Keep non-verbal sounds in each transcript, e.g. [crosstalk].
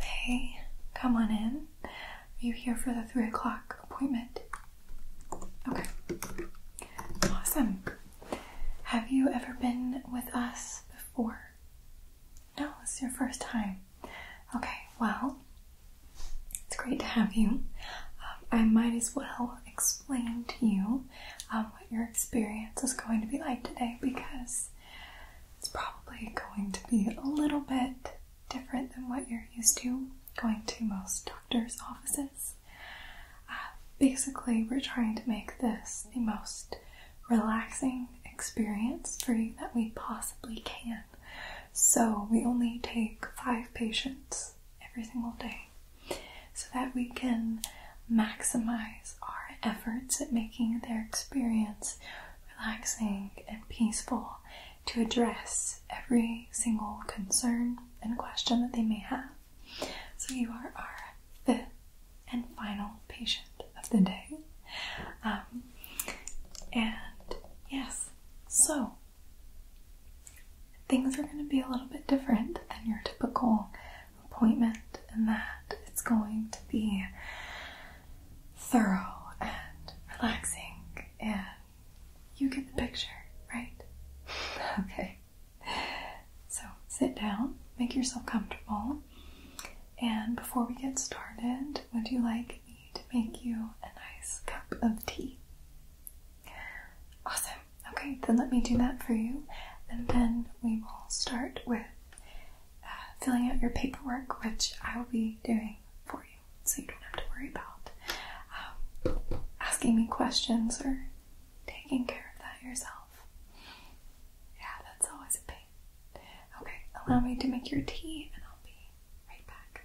Hey, come on in. Are you here for the three o'clock appointment? Okay. Awesome. Have you ever been with us before? No, it's your first time. Okay, well, it's great to have you. Um, I might as well explain to you um, what your experience is going to be like today because it's probably going to be a little bit different than what you're used to going to most doctors' offices. Uh, basically, we're trying to make this the most relaxing experience for you that we possibly can. So, we only take five patients every single day so that we can maximize our efforts at making their experience relaxing and peaceful to address every single concern and question that they may have. So, you are our fifth and final patient of the day. Um, and yes, so things are going to be a little bit different than your typical appointment, and that it's going to be thorough and relaxing, and you get the picture, right? [laughs] okay. So sit down, make yourself comfortable, and before we get started, would you like me to make you a nice cup of tea? Awesome. Okay, then let me do that for you, and then we will start with uh, filling out your paperwork, which I will be doing for you, so you don't have to worry about um, asking me questions or taking care of that yourself. Yeah, that's always a big. Okay. allow me to make your tea and I'll be right back.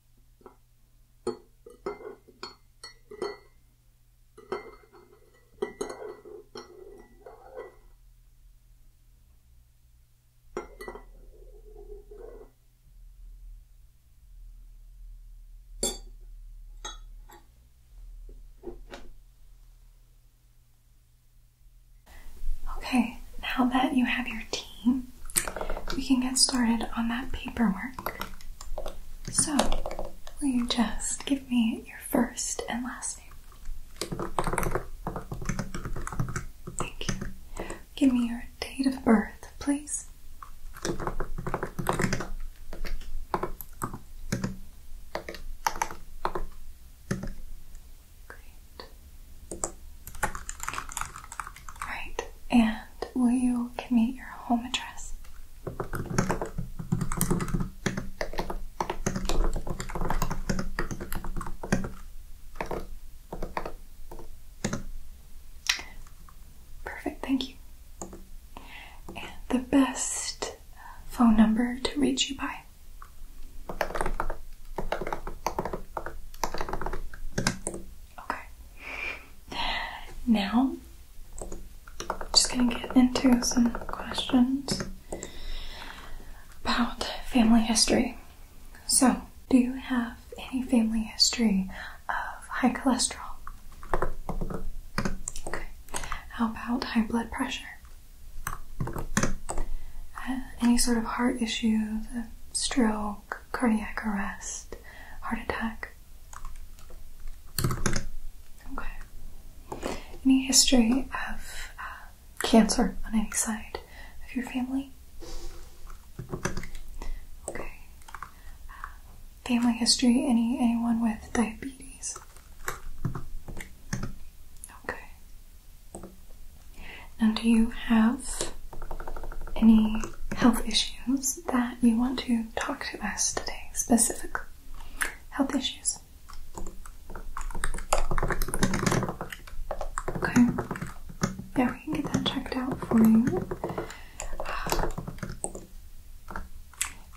Okay, now that you have your team, we can get started on that paperwork. So, will you just give me your first and last name? Thank you. Give me your date of birth, please. Great. Right. And will you give me your home address? Perfect, thank you. And the best phone number to reach you by? Okay. Now, just gonna get into some questions about family history. So, do you have any family history of high cholesterol? Okay. How about high blood pressure? Uh, any sort of heart issues, stroke, cardiac arrest, heart attack? Okay. Any history of uh, cancer on any side of your family? Okay. Uh, family history, any anyone with diabetes? Okay. Now do you have any health issues that you want to talk to us today, specific health issues. Okay. Yeah, we can get that checked out for you.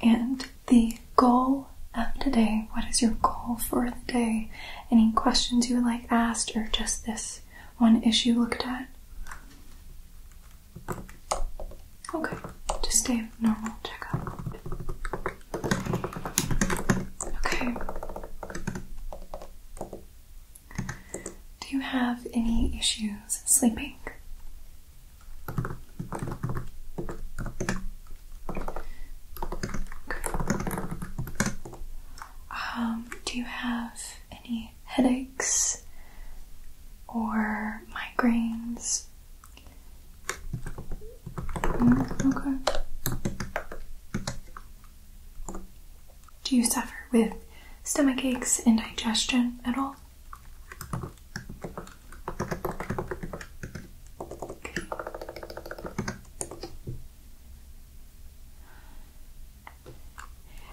And the goal of today, what is your goal for the day? Any questions you would like asked or just this one issue looked at? Okay, just a normal checkup. Okay. Do you have any issues sleeping? Um, do you have any headaches or migraines. Mm, okay. Do you suffer with stomach aches and digestion at all? Okay.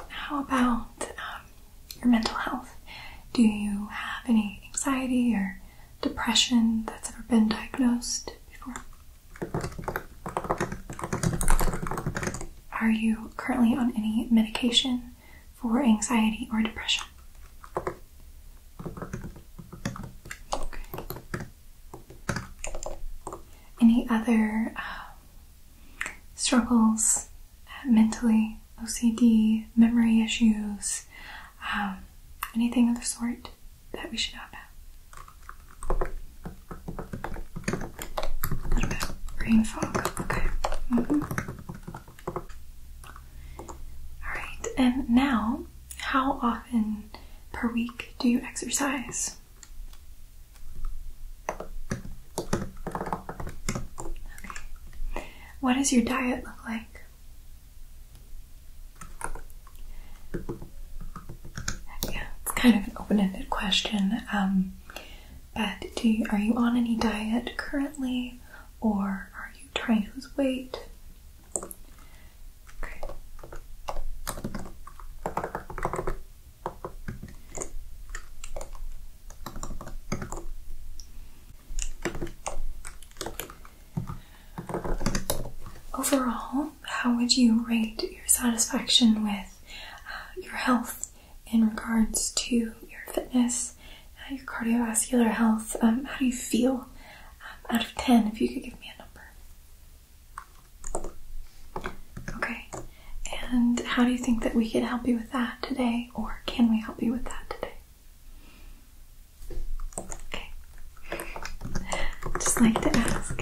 How about um, your mental health. Do you have any anxiety or depression that's ever been diagnosed before? Are you currently on any medication for anxiety or depression? Okay. Any other uh, struggles mentally, OCD, memory issues, um, anything of the sort that we should know about. A Okay. Mm-hmm. All right. And now, how often per week do you exercise? What does your diet look like? Yeah, it's kind of an open-ended question. Um, but do you, are you on any diet currently, or are you trying to lose weight? Overall, how would you rate your satisfaction with uh, your health in regards to your fitness, uh, your cardiovascular health? Um, how do you feel um, out of 10 if you could give me a number? Okay, and how do you think that we could help you with that today, or can we help you with that today? Okay. Just like to ask.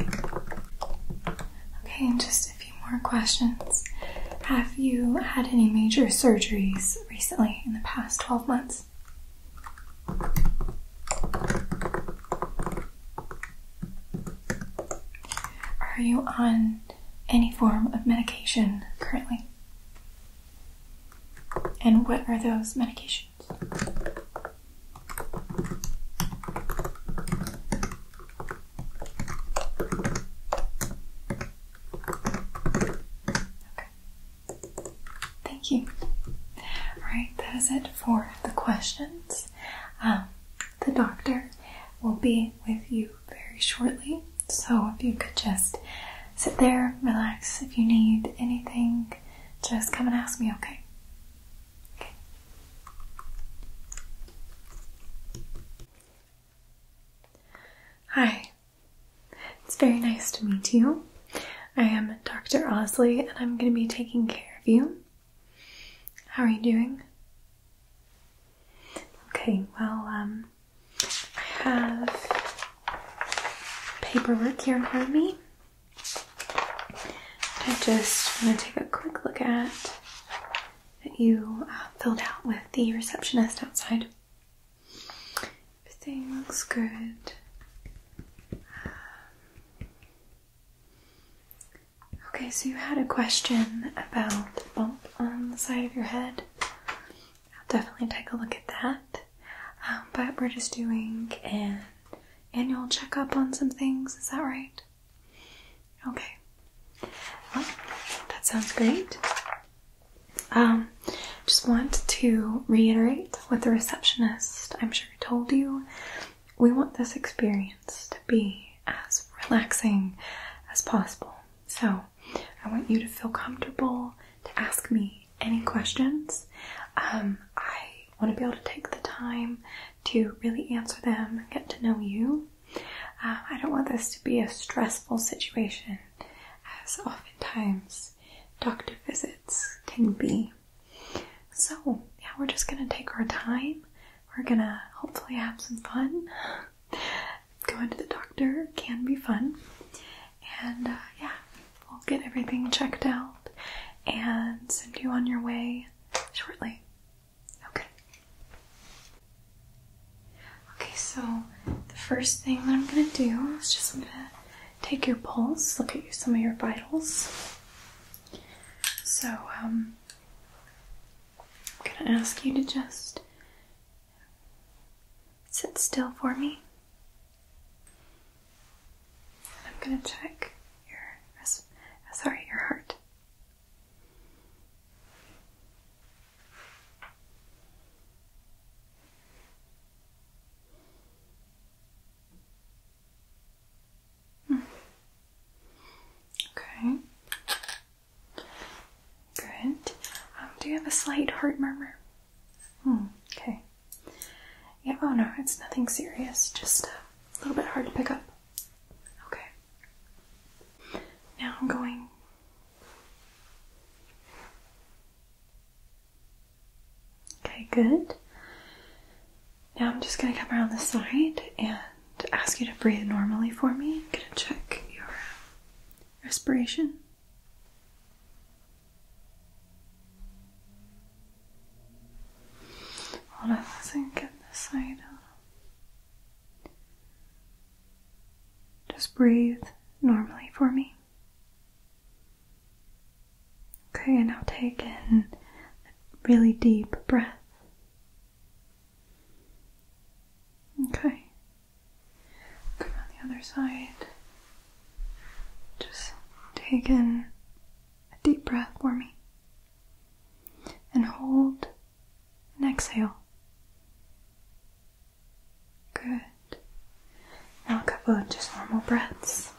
Okay, and just a few more questions. Have you had any major surgeries recently in the past 12 months? Are you on any form of medication currently? And what are those medications? Okay. Thank you. All right, that is it for the questions. Um, the doctor will be with you very shortly so if you could just sit there, relax. If you need anything, just come and ask me, okay? Hi. It's very nice to meet you. I am Dr. Osley and I'm going to be taking care of you. How are you doing? Okay, well, um, I have paperwork here in front of me. I just want to take a quick look at that you uh, filled out with the receptionist outside. Everything looks good. Um, okay, so you had a question about the bump on the side of your head. I'll definitely take a look at that. Um, but we're just doing an annual checkup on some things, is that right? Okay. that sounds great. Um, just want to reiterate what the receptionist, I'm sure, told you. We want this experience to be as relaxing as possible. So, I want you to feel comfortable to ask me any questions. Um, I want to be able to take the time to really answer them and get to know you. Uh, I don't want this to be a stressful situation, as oftentimes doctor visits can be. So, yeah, we're just going to take our time. We're going to hopefully have some fun. Going to the doctor can be fun. And uh, yeah, we'll get everything checked out and send you on your way shortly. Okay. Okay, so the first thing that I'm going to do is just I'm going to take your pulse, look at you, some of your vitals. So, um, I'm going to ask you to just Sit still for me. I'm gonna check your sorry, your heart. Hmm. Okay. Good. Um, do you have a slight heart murmur? Hmm, okay. Yeah, oh no, it's nothing serious, just a little bit hard to pick up. Okay. Now I'm going. Okay, good. Now I'm just going to come around the side and ask you to breathe normally for me. I'm going to check your respiration. All of us and get this out. Just breathe normally for me. Okay, and now take in a really deep breath. Okay, Come on the other side. Just take in a deep breath for me and hold and exhale. Good. Now a couple of just normal breaths.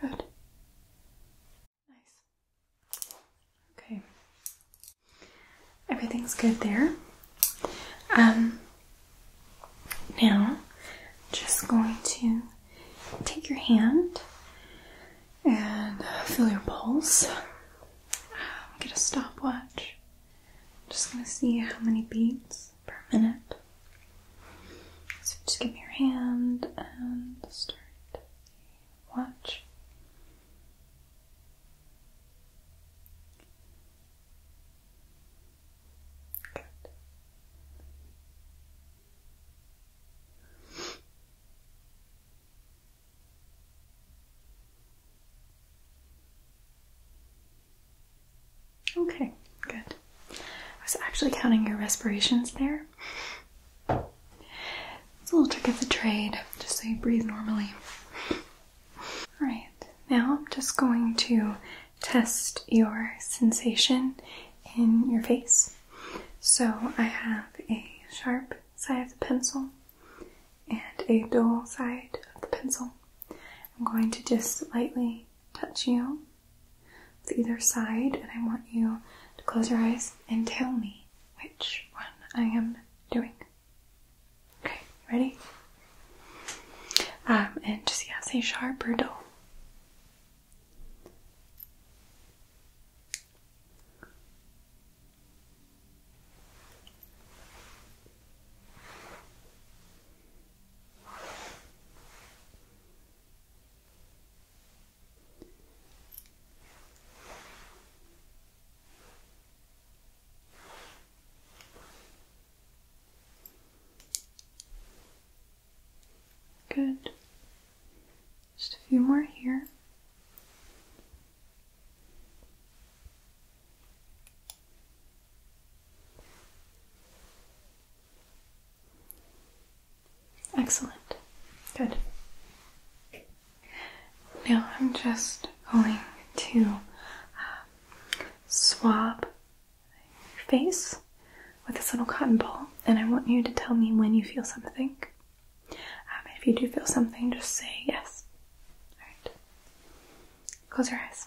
Good. Nice. Okay. Everything's good there. Um, now, just going to take your hand and uh, feel your pulse. Um, get a stopwatch. Just going to see how many beats per minute so just give me your hand and start the watch. Okay, good. I was actually counting your respirations there. It's a little trick of the trade, just so you breathe normally. Alright, now I'm just going to test your sensation in your face. So I have a sharp side of the pencil and a dull side of the pencil. I'm going to just lightly touch you with either side, and I want you to close your eyes and tell me which one I am doing. Okay, ready? Um, and just yeah, say sharp or dull. Good. Just a few more here. Excellent. Good. Now I'm just going to uh, swab your face with this little cotton ball, and I want you to tell me when you feel something. Um, if you do feel something, just say yes. Alright. Close your eyes.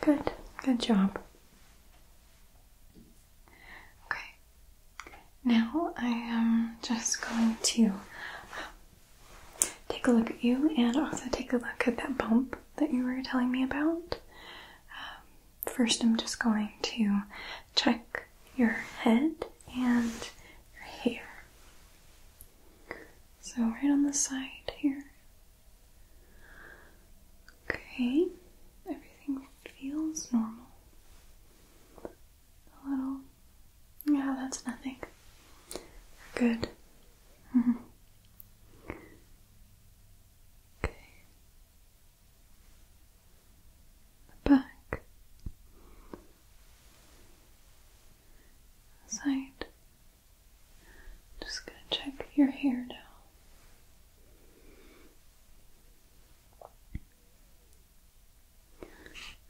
Good, good job. Okay, now I am just going to take a look at you and also take a look at that bump that you were telling me about. Um, first, I'm just going to check your head and your hair. So, right on the side here, Okay, everything feels normal. A little. Yeah, that's nothing. Good. Mm-hmm. okay. back. Side. Just gonna check your hair now.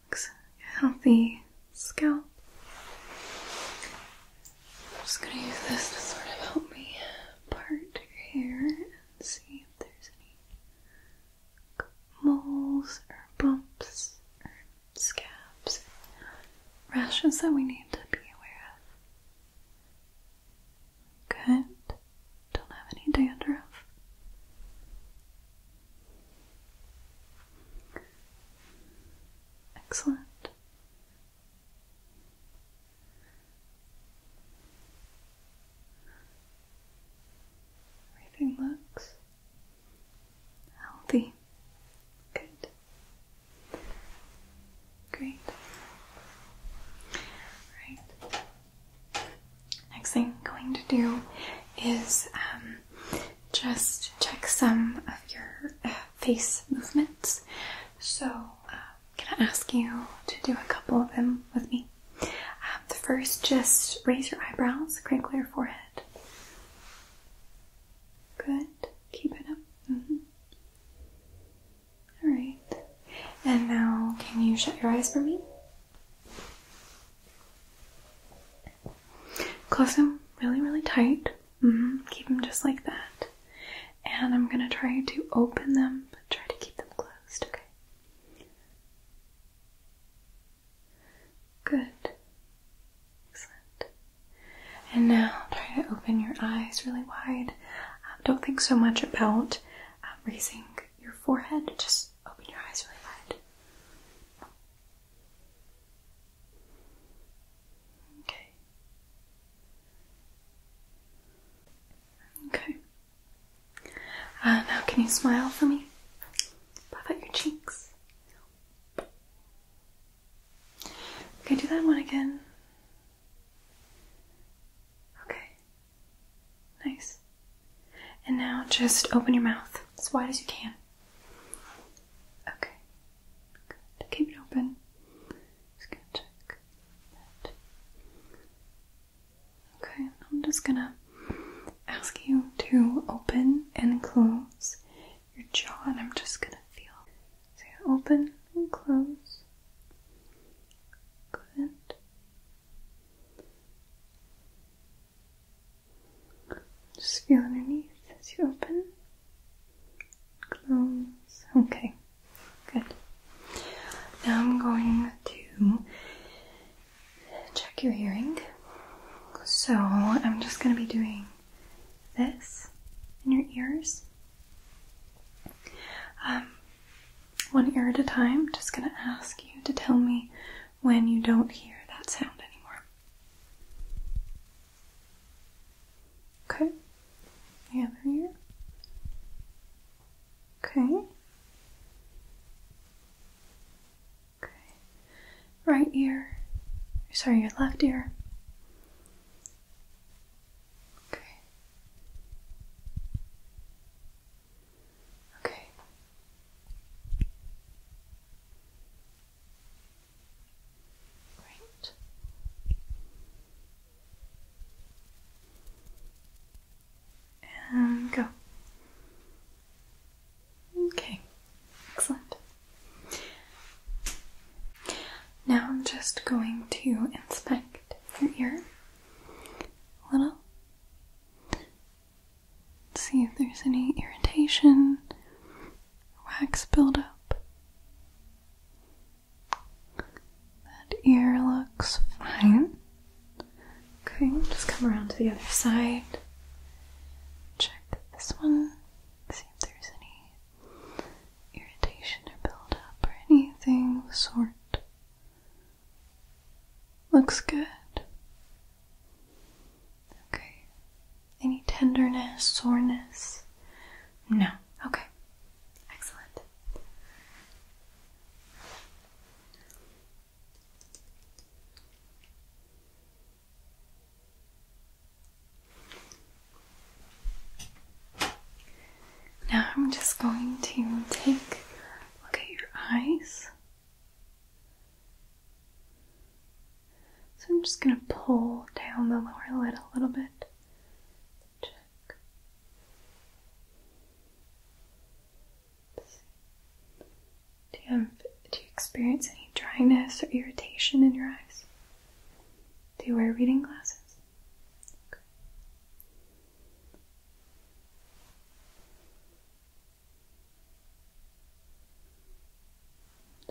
Looks healthy scalp. I'm just gonna use this to sort of help me part your hair and see if there's any moles or bumps scabs, rashes that we need to be aware of. Good. Don't have any dandruff. Excellent. Everything looks healthy. Good. Great. All right. Next thing I'm going to do is um, just check some of your uh, face movements. So uh, I'm going to ask you to do a couple of them with me. Um, the first, just raise your eyebrows, crinkle your forehead. Good. Keep it up. Mm-hmm. All right. And now, can you shut your eyes for me? Close them really, really tight. Mm-hmm. Keep them just like that. And I'm going to try to open them, but try to keep them closed, okay? Good. Excellent. And now try to open your eyes really wide. Um, don't think so much about um, raising your forehead, just open your eyes really wide. Okay. Okay. Uh, now, can you smile for me? Puff out your cheeks. Okay, do that one again. Okay. Nice. And now just open your mouth as wide as you can. Okay. Good. Keep it open. Just gonna check Okay, I'm just gonna ask you to open and close your jaw, and I'm just gonna feel. So you open and close. Good. Just feel underneath as you open, close. Okay, good. Now I'm going to check your hearing. So I'm just going to be doing this in your ears. Um, one ear at a time, just going to ask you to tell me when you don't hear that sound anymore. Okay, the other ear. Okay. Okay. Right ear. Sorry, your left ear. Okay. Okay. Great. And go. Okay. Excellent. Now I'm just going to inspect your ear a little. See if there's any irritation, wax buildup. That ear looks fine. Okay, just come around to the other side. Check this one. See if there's any irritation or buildup or anything of the sort. Looks good. Okay. Any tenderness, soreness? No. Okay. Excellent. Now I'm just going to take a look at your eyes. So I'm just going to pull down the lower lid a little bit. Check. Do you, have, do you experience any dryness or irritation in your eyes? Do you wear reading glasses? Okay.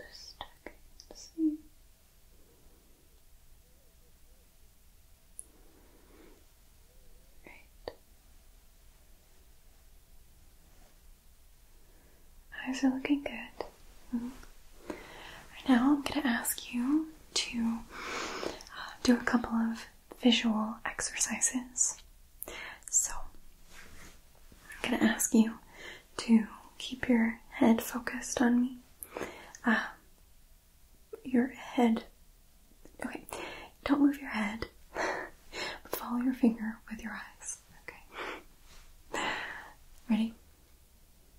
Just checking to see. Right. Eyes are looking good. Mm-hmm. Right now, I'm going to ask you to uh, do a couple of visual exercises. So, I'm going to ask you to keep your head focused on me. Uh, your head. Okay, don't move your head. follow your finger with your eyes. Okay. Ready?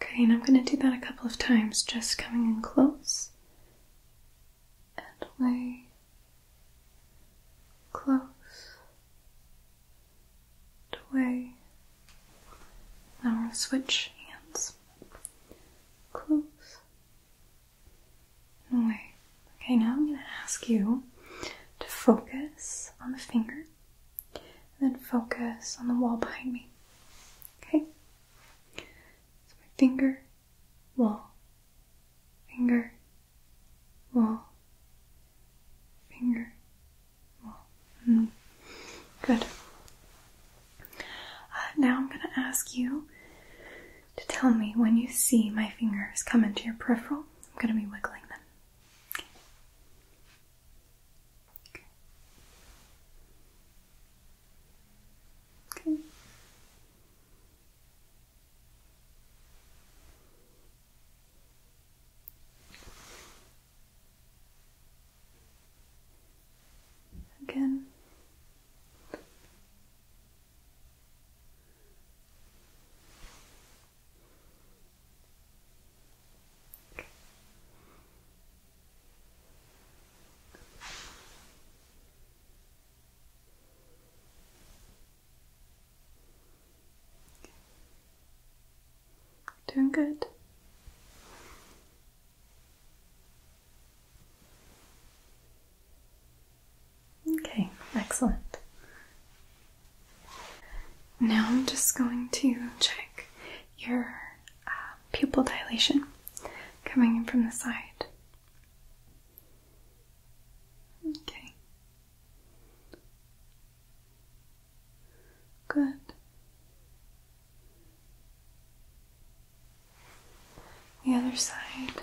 Okay, and I'm going to do that a couple of times, just coming in close and away, close away. Now we're going to switch hands. Close no Okay, now I'm going to ask you to focus on the finger and then focus on the wall behind me. Okay? So finger, wall, finger, wall, finger, wall. Mm-hmm. Good. Uh, now I'm going to ask you to tell me when you see my fingers come into your peripheral. I'm going to be wiggling them. Okay. Again. Doing good. Okay, excellent. Now I'm just going to check your uh, pupil dilation coming in from the side. Okay. Good. The other side.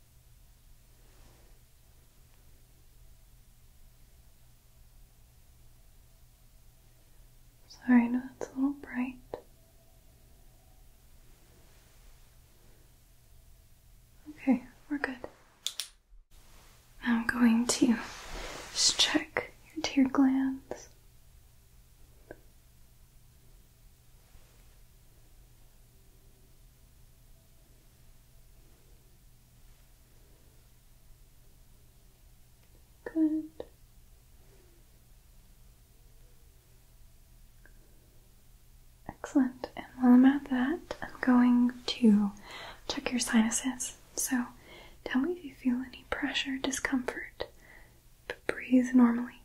Sorry, no, it's a little bright. Okay, we're good. I'm going to just check your tear glands. Good. Excellent. And while I'm at that, I'm going to check your sinuses. So tell me if you feel any pressure, discomfort, but breathe normally.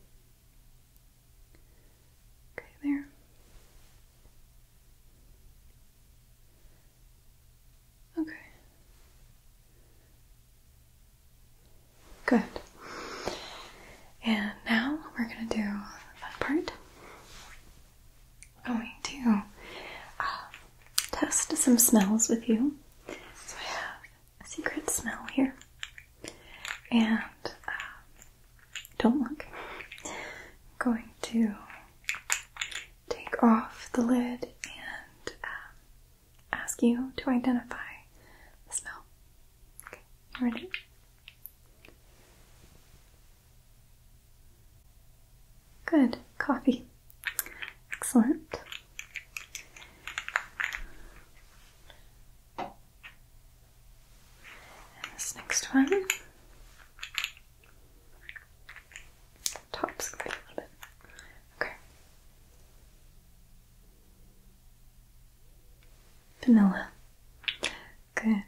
Okay, there. Okay. Good. And now we're going to do the fun part. I'm going to uh, test some smells with you. So I have a secret smell here. And uh, don't look. I'm going to take off the lid and um, ask you to identify the smell. ready? Good. Coffee. Excellent. And this next one Top square a little bit. Okay. Vanilla. Good.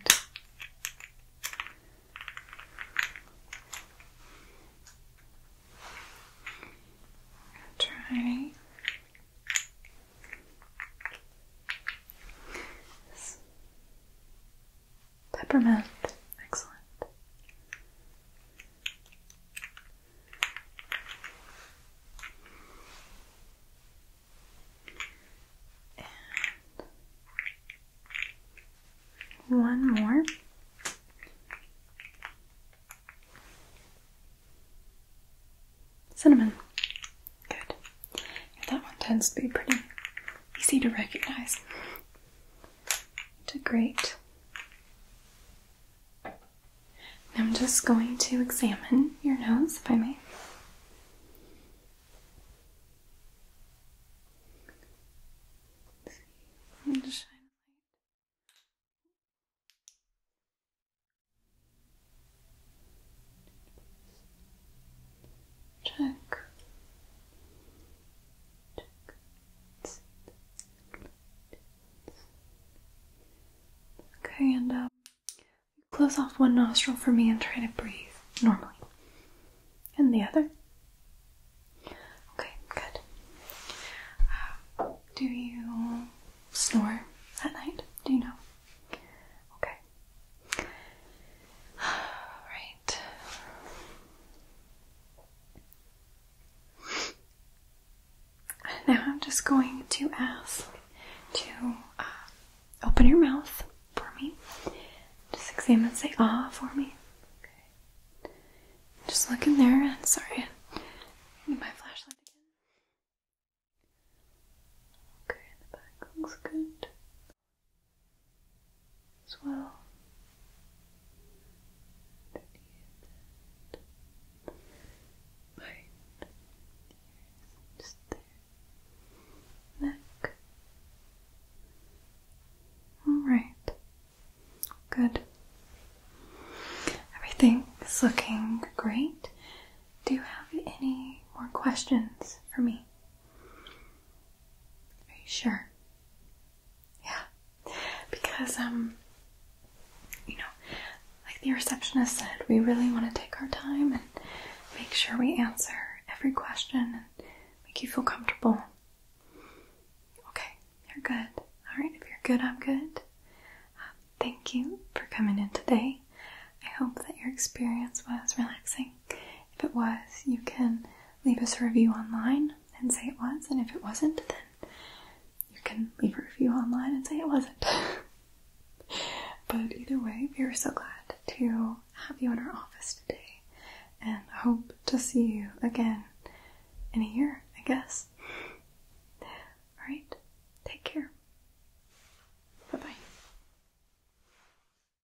Try Peppermint. Excellent. And one more. Cinnamon. Good that one tends to be pretty easy to recognize. To great. I'm just going to examine your nose, if I may. Check. Check. Okay, and uh, close off one nostril for me and try to breathe normally. And the other. Okay, good. Uh, do you snore at night? Do you know? Okay. Okay. Now I'm just going to ask to uh, open your mouth for me. Just examine and say ah for me. Okay. Just look in there and sorry. need my flashlight again. Okay, the back looks good as well. Underneath it. Right. Just there. Neck. Alright. Good. Everything is looking great. Do you have any more questions for me? Are you sure? Yeah. Because, um, you know, like the receptionist said, we really want to take our time and make sure we answer every question and make you feel comfortable. Okay, you're good. All right, if you're good, I'm good. Um, thank you for coming in today. I hope that your experience was relaxing if it was, you can leave us a review online and say it was, and if it wasn't, then you can leave a review online and say it wasn't. [laughs] but either way, we are so glad to have you in our office today and hope to see you again in a year, I guess. [laughs] Alright, take care. Bye bye.